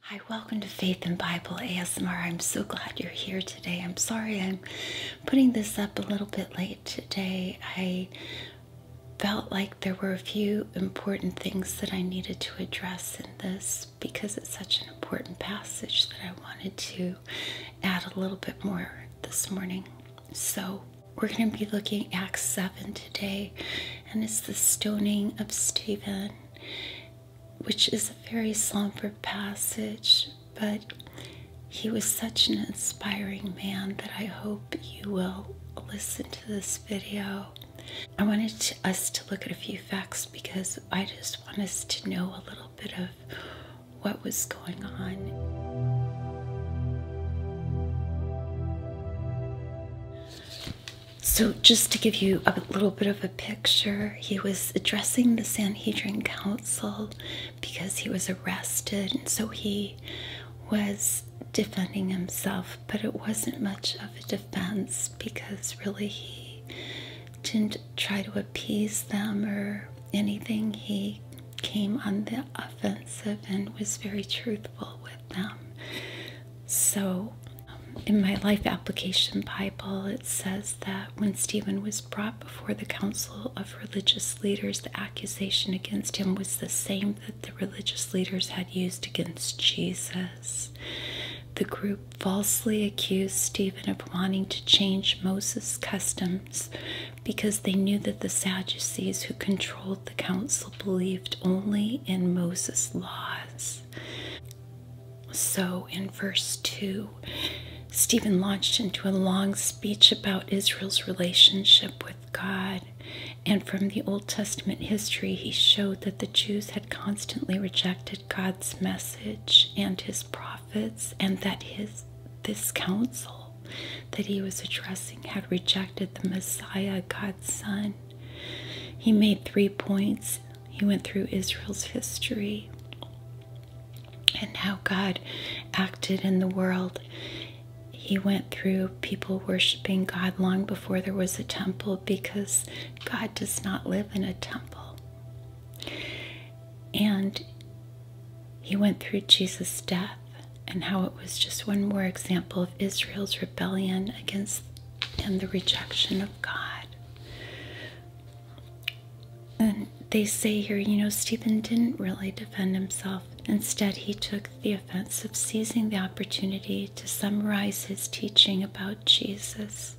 Hi, welcome to Faith and Bible ASMR. I'm so glad you're here today. I'm sorry I'm putting this up a little bit late today. I felt like there were a few important things that I needed to address in this because it's such an important passage that I wanted to add a little bit more this morning. So, we're going to be looking at Acts 7 today, and it's the stoning of Stephen which is a very somber passage, but he was such an inspiring man that I hope you will listen to this video. I wanted us to look at a few facts because I just want us to know a little bit of what was going on. So, just to give you a little bit of a picture, he was addressing the Sanhedrin Council because he was arrested, and so he was defending himself, but it wasn't much of a defense because really he didn't try to appease them or anything. He came on the offensive and was very truthful with them. So, in my life application Bible, it says that when Stephen was brought before the council of religious leaders, the accusation against him was the same that the religious leaders had used against Jesus. The group falsely accused Stephen of wanting to change Moses' customs because they knew that the Sadducees who controlled the council believed only in Moses' laws. So in verse 2, Stephen launched into a long speech about Israel's relationship with God. And from the Old Testament history, he showed that the Jews had constantly rejected God's message and his prophets, and that his this council that he was addressing had rejected the Messiah, God's Son. He made three points. He went through Israel's history and how God acted in the world. He went through people worshiping God long before there was a temple because God does not live in a temple. And he went through Jesus' death and how it was just one more example of Israel's rebellion against and the rejection of God. And they say here, you know, Stephen didn't really defend himself. Instead, he took the offense of seizing the opportunity to summarize his teaching about Jesus.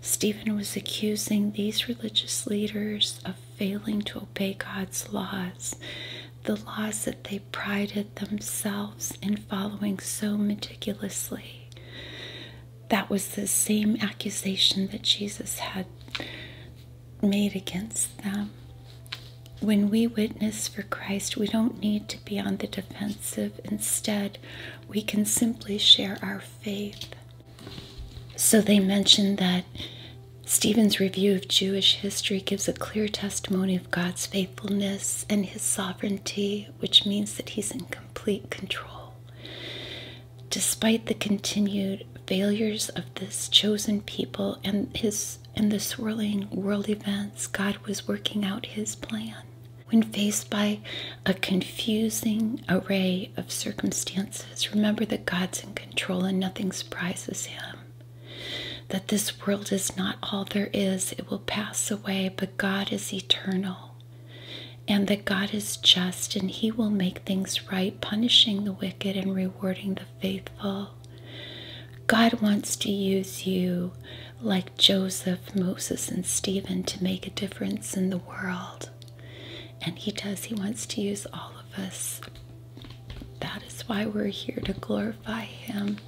Stephen was accusing these religious leaders of failing to obey God's laws the laws that they prided themselves in following so meticulously. That was the same accusation that Jesus had made against them. When we witness for Christ, we don't need to be on the defensive. Instead, we can simply share our faith. So they mentioned that Stephen's review of Jewish history gives a clear testimony God's faithfulness and His sovereignty, which means that He's in complete control. Despite the continued failures of this chosen people and His and the swirling world events, God was working out His plan. When faced by a confusing array of circumstances, remember that God's in control and nothing surprises Him that this world is not all there is, it will pass away, but God is eternal, and that God is just, and He will make things right, punishing the wicked and rewarding the faithful. God wants to use you like Joseph, Moses, and Stephen to make a difference in the world. And He does, He wants to use all of us. That is why we're here to glorify Him.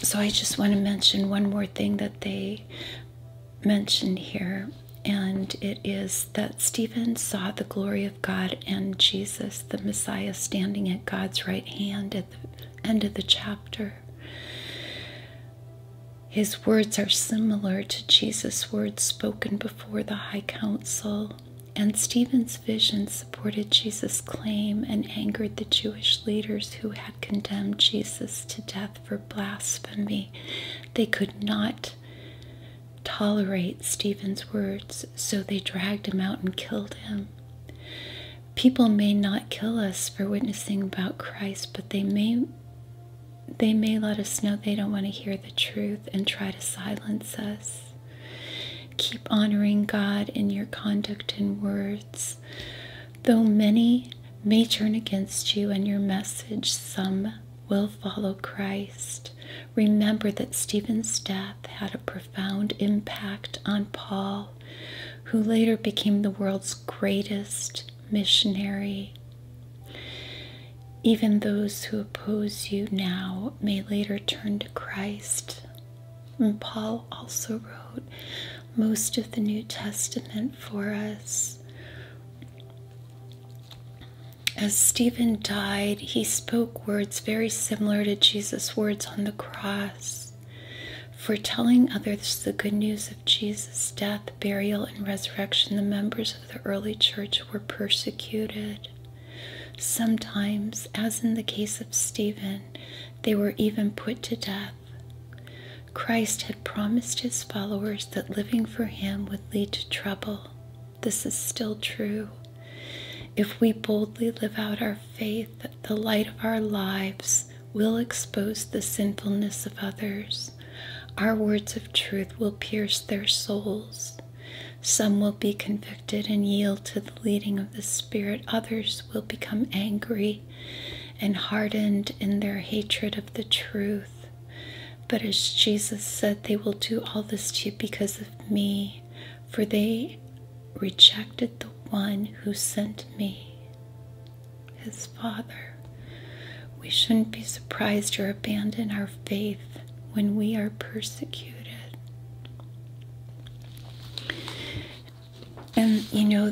So I just want to mention one more thing that they mentioned here, and it is that Stephen saw the glory of God and Jesus, the Messiah, standing at God's right hand at the end of the chapter. His words are similar to Jesus' words spoken before the high council and Stephen's vision supported Jesus' claim and angered the Jewish leaders who had condemned Jesus to death for blasphemy. They could not tolerate Stephen's words, so they dragged him out and killed him. People may not kill us for witnessing about Christ, but they may they may let us know they don't want to hear the truth and try to silence us. Keep honoring God in your conduct and words. Though many may turn against you and your message, some will follow Christ. Remember that Stephen's death had a profound impact on Paul, who later became the world's greatest missionary. Even those who oppose you now may later turn to Christ. And Paul also wrote most of the New Testament for us. As Stephen died, he spoke words very similar to Jesus' words on the cross, foretelling others the good news of Jesus' death, burial, and resurrection. The members of the early church were persecuted. Sometimes, as in the case of Stephen, they were even put to death. Christ had promised his followers that living for him would lead to trouble. This is still true. If we boldly live out our faith, the light of our lives will expose the sinfulness of others. Our words of truth will pierce their souls. Some will be convicted and yield to the leading of the Spirit, others will become angry and hardened in their hatred of the truth. But as Jesus said, they will do all this to you because of me, for they rejected the one who sent me, his Father. We shouldn't be surprised or abandon our faith when we are persecuted. And you know,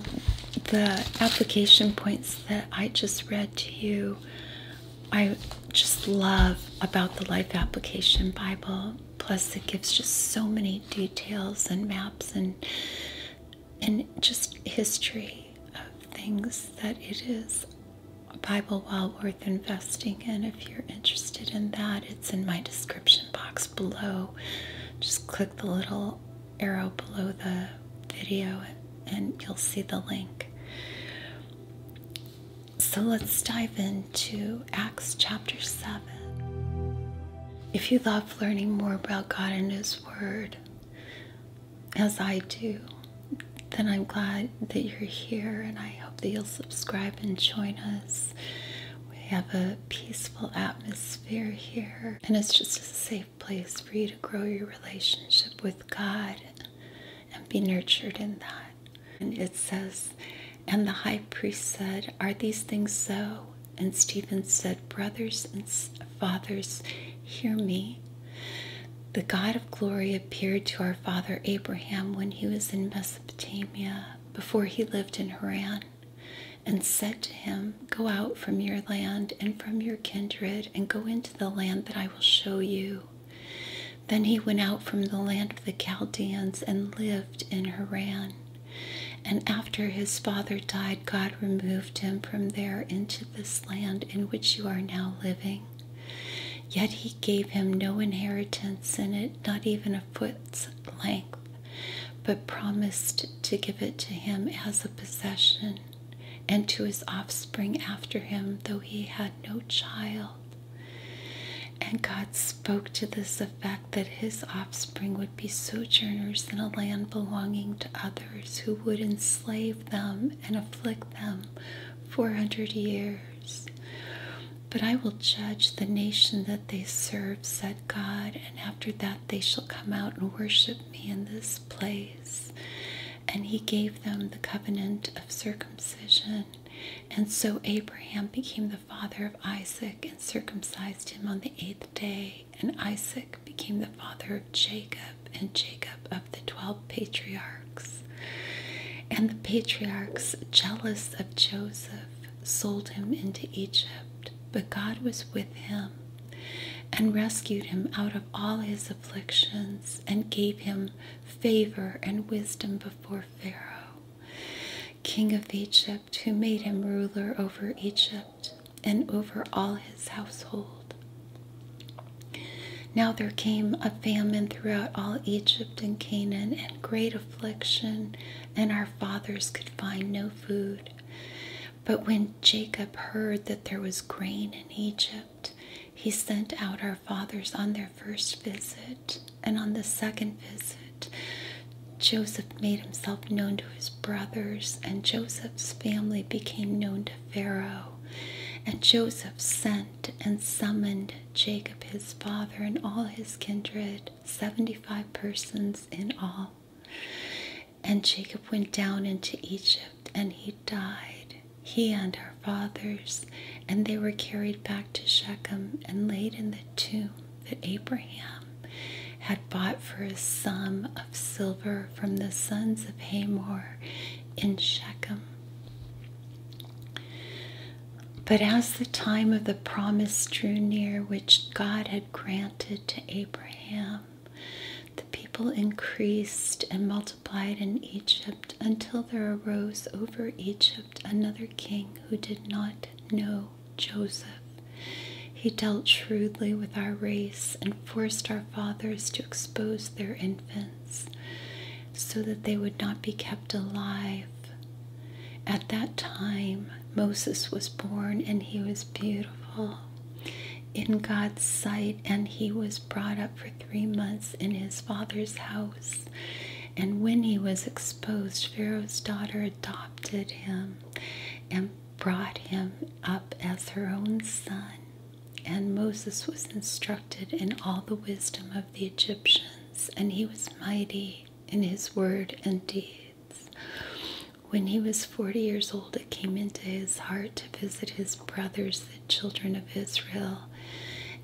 the application points that I just read to you, I just love about the Life Application Bible. Plus, it gives just so many details and maps and and just history of things that it is Bible well worth investing in if you're interested in that. It's in my description box below. Just click the little arrow below the video and you'll see the link. So let's dive into Acts chapter 7. If you love learning more about God and His Word, as I do, then I'm glad that you're here and I hope that you'll subscribe and join us. We have a peaceful atmosphere here, and it's just a safe place for you to grow your relationship with God and be nurtured in that. And it says, And the high priest said, Are these things so? And Stephen said, Brothers and fathers, hear me. The God of glory appeared to our father Abraham when he was in Mesopotamia, before he lived in Haran, and said to him, Go out from your land and from your kindred, and go into the land that I will show you. Then he went out from the land of the Chaldeans and lived in Haran. And after his father died, God removed him from there into this land in which you are now living. Yet he gave him no inheritance in it, not even a foot's length, but promised to give it to him as a possession and to his offspring after him, though he had no child. And God spoke to this effect that his offspring would be sojourners in a land belonging to others who would enslave them and afflict them 400 years others. But I will judge the nation that they serve, said God, and after that they shall come out and worship me in this place. And he gave them the covenant of circumcision. And so Abraham became the father of Isaac and circumcised him on the eighth day. And Isaac became the father of Jacob, and Jacob of the 12 patriarchs. And the patriarchs, jealous of Joseph, sold him into Egypt. But God was with him and rescued him out of all his afflictions and gave him favor and wisdom before Pharaoh, king of Egypt, who made him ruler over Egypt and over all his household. Now there came a famine throughout all Egypt and Canaan, and great affliction, and our fathers could find no food. But when Jacob heard that there was grain in Egypt, he sent out our fathers on their first visit, and on the second visit, Joseph made himself known to his brothers, and Joseph's family became known to Pharaoh. And Joseph sent and summoned Jacob his father and all his kindred, seventy five persons in all. And Jacob went down into Egypt, and he died, he and our fathers, and they were carried back to Shechem and laid in the tomb that Abraham had bought for a sum of silver from the sons of Hamor in Shechem. But as the time of the promise drew near, which God had granted to Abraham, the people increased and multiplied in Egypt until there arose over Egypt another king who did not know Joseph. He dealt shrewdly with our race and forced our fathers to expose their infants so that they would not be kept alive. At that time, Moses was born and he was beautiful in God's sight, and he was brought up for three months in his father's house. And when he was exposed, Pharaoh's daughter adopted him and brought him up as her own son. And Moses was instructed in all the wisdom of the Egyptians, and he was mighty in his word and deeds. When he was forty years old, it came into his heart to visit his brothers, the children of Israel.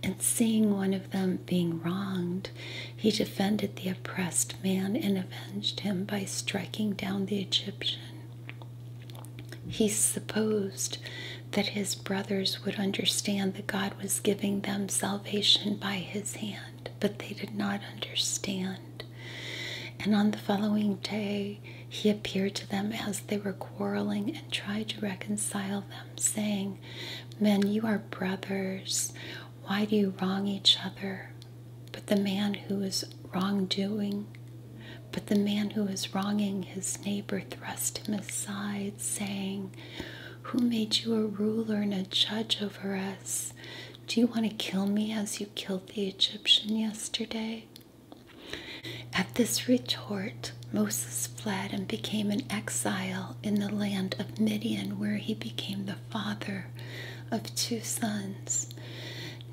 And seeing one of them being wronged, he defended the oppressed man and avenged him by striking down the Egyptian he supposed that his brothers would understand that God was giving them salvation by his hand, but they did not understand. And on the following day, he appeared to them as they were quarreling and tried to reconcile them, saying, Men, you are brothers. Why do you wrong each other? But the man who was wrongdoing but the man who was wronging his neighbor thrust him aside, saying, Who made you a ruler and a judge over us? Do you want to kill me as you killed the Egyptian yesterday? At this retort, Moses fled and became an exile in the land of Midian, where he became the father of two sons.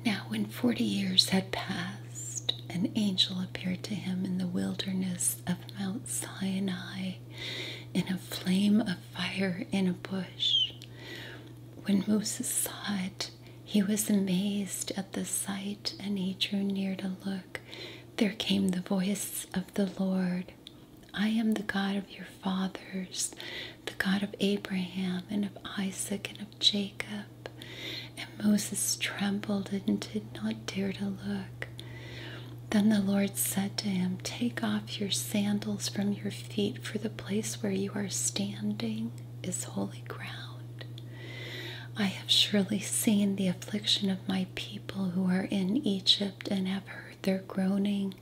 Now, when forty years had passed, an angel appeared to him in the wilderness of Mount Sinai in a flame of fire in a bush. When Moses saw it, he was amazed at the sight and he drew near to look. There came the voice of the Lord I am the God of your fathers, the God of Abraham and of Isaac and of." Jacob. And Moses trembled and did not dare to look. Then the Lord said to him, Take off your sandals from your feet, for the place where you are standing is holy ground. I have surely seen the affliction of my people who are in Egypt and have heard their groaning,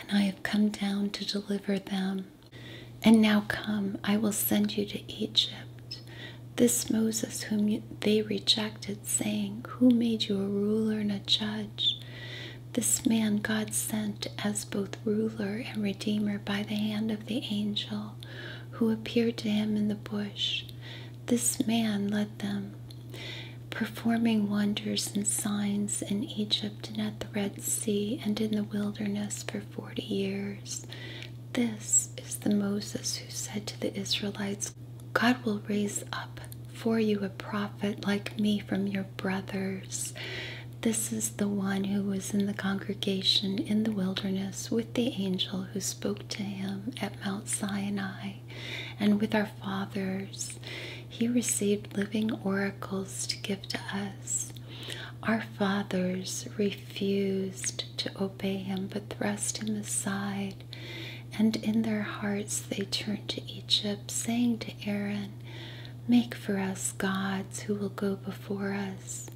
and I have come down to deliver them. And now come, I will send you to Egypt. This Moses, whom they rejected, saying, Who made you a ruler and a judge? This man God sent as both ruler and redeemer by the hand of the angel who appeared to him in the bush. This man led them, performing wonders and signs in Egypt and at the Red Sea and in the wilderness for forty years this. is the Moses who said to the Israelites, God will raise up for you a prophet like me from your brothers. This is the one who was in the congregation in the wilderness with the angel who spoke to him at Mount Sinai and with our fathers. He received living oracles to give to us. Our fathers refused to obey him but thrust him aside, and in their hearts they turned to Egypt, saying to Aaron, Make for us gods who will go before us.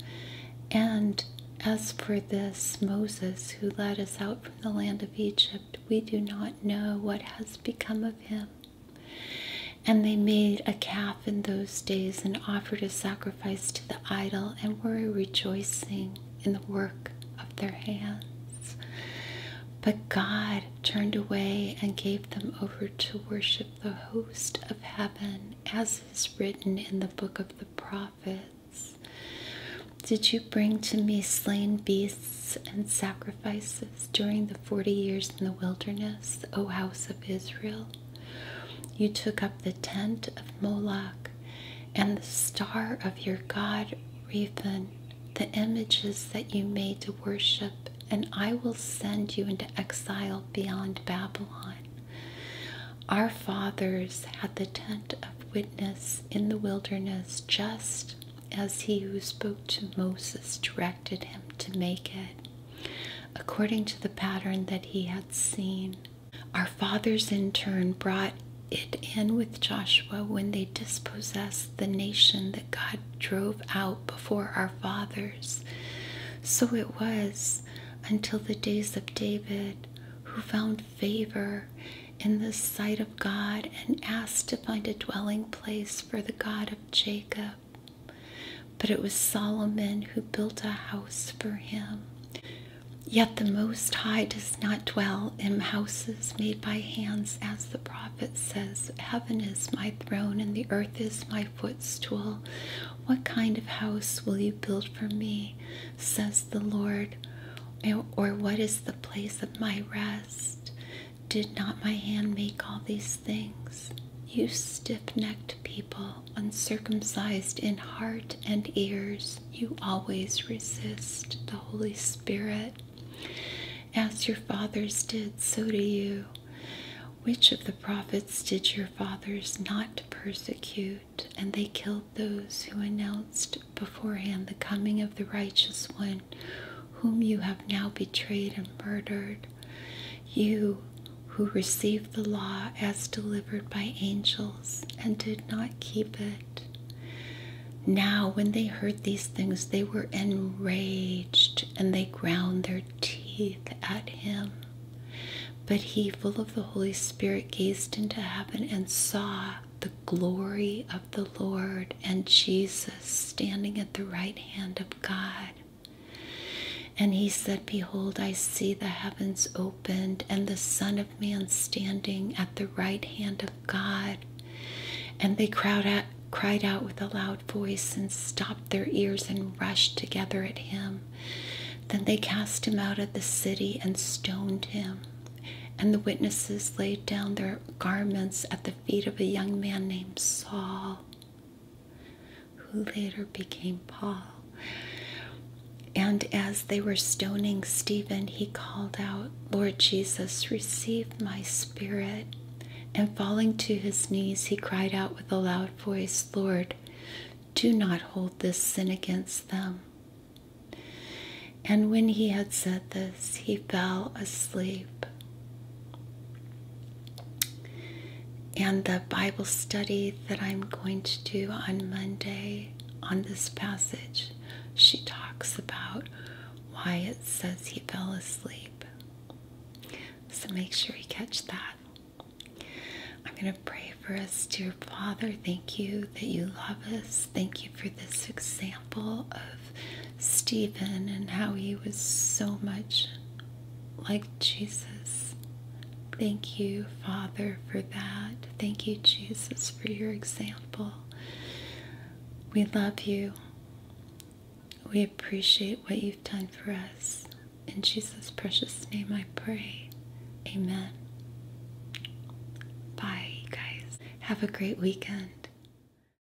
And as for this Moses who led us out from the land of Egypt, we do not know what has become of him. And they made a calf in those days and offered a sacrifice to the idol and were rejoicing in the work of their hands. But God turned away and gave them over to worship the host of heaven, as is written in the book of the prophets. Did you bring to me slain beasts and sacrifices during the forty years in the wilderness, O house of Israel? You took up the tent of Moloch and the star of your god Rephan, the images that you made to worship, and I will send you into exile beyond Babylon. Our fathers had the tent of witness in the wilderness, just as he who spoke to Moses directed him to make it according to the pattern that he had seen. Our fathers in turn brought it in with Joshua when they dispossessed the nation that God drove out before our fathers. So it was until the days of David, who found favor in the sight of God and asked to find a dwelling place for the God of Jacob. But it was Solomon who built a house for him. Yet the Most High does not dwell in houses made by hands, as the prophet says, Heaven is my throne and the earth is my footstool. What kind of house will you build for me, says the Lord? Or what is the place of my rest? Did not my hand make all these things, you stiff necked people, uncircumcised in heart and ears, you always resist the Holy Spirit. As your fathers did, so do you. Which of the prophets did your fathers not persecute? And they killed those who announced beforehand the coming of the righteous one, whom you have now betrayed and murdered. You who received the law as delivered by angels and did not keep it. Now, when they heard these things, they were enraged and they ground their teeth at him. But he, full of the Holy Spirit, gazed into heaven and saw the glory of the Lord and Jesus standing at the right hand of God. And he said, Behold, I see the heavens opened, and the Son of Man standing at the right hand of God. And they cried out with a loud voice and stopped their ears and rushed together at him. Then they cast him out of the city and stoned him. And the witnesses laid down their garments at the feet of a young man named Saul who later became Paul. And as they were stoning Stephen, he called out, Lord Jesus, receive my spirit. And falling to his knees, he cried out with a loud voice, Lord, do not hold this sin against them. And when he had said this, he fell asleep. And the Bible study that I'm going to do on Monday on this passage, she talks about why it says he fell asleep. So make sure you catch that. I'm going to pray for us, dear Father. Thank you that you love us. Thank you for this example of Stephen and how he was so much like Jesus. Thank you, Father, for that. Thank you, Jesus, for your example. We love you. We appreciate what you've done for us. In Jesus' precious name I pray. Amen. Bye, guys. Have a great weekend.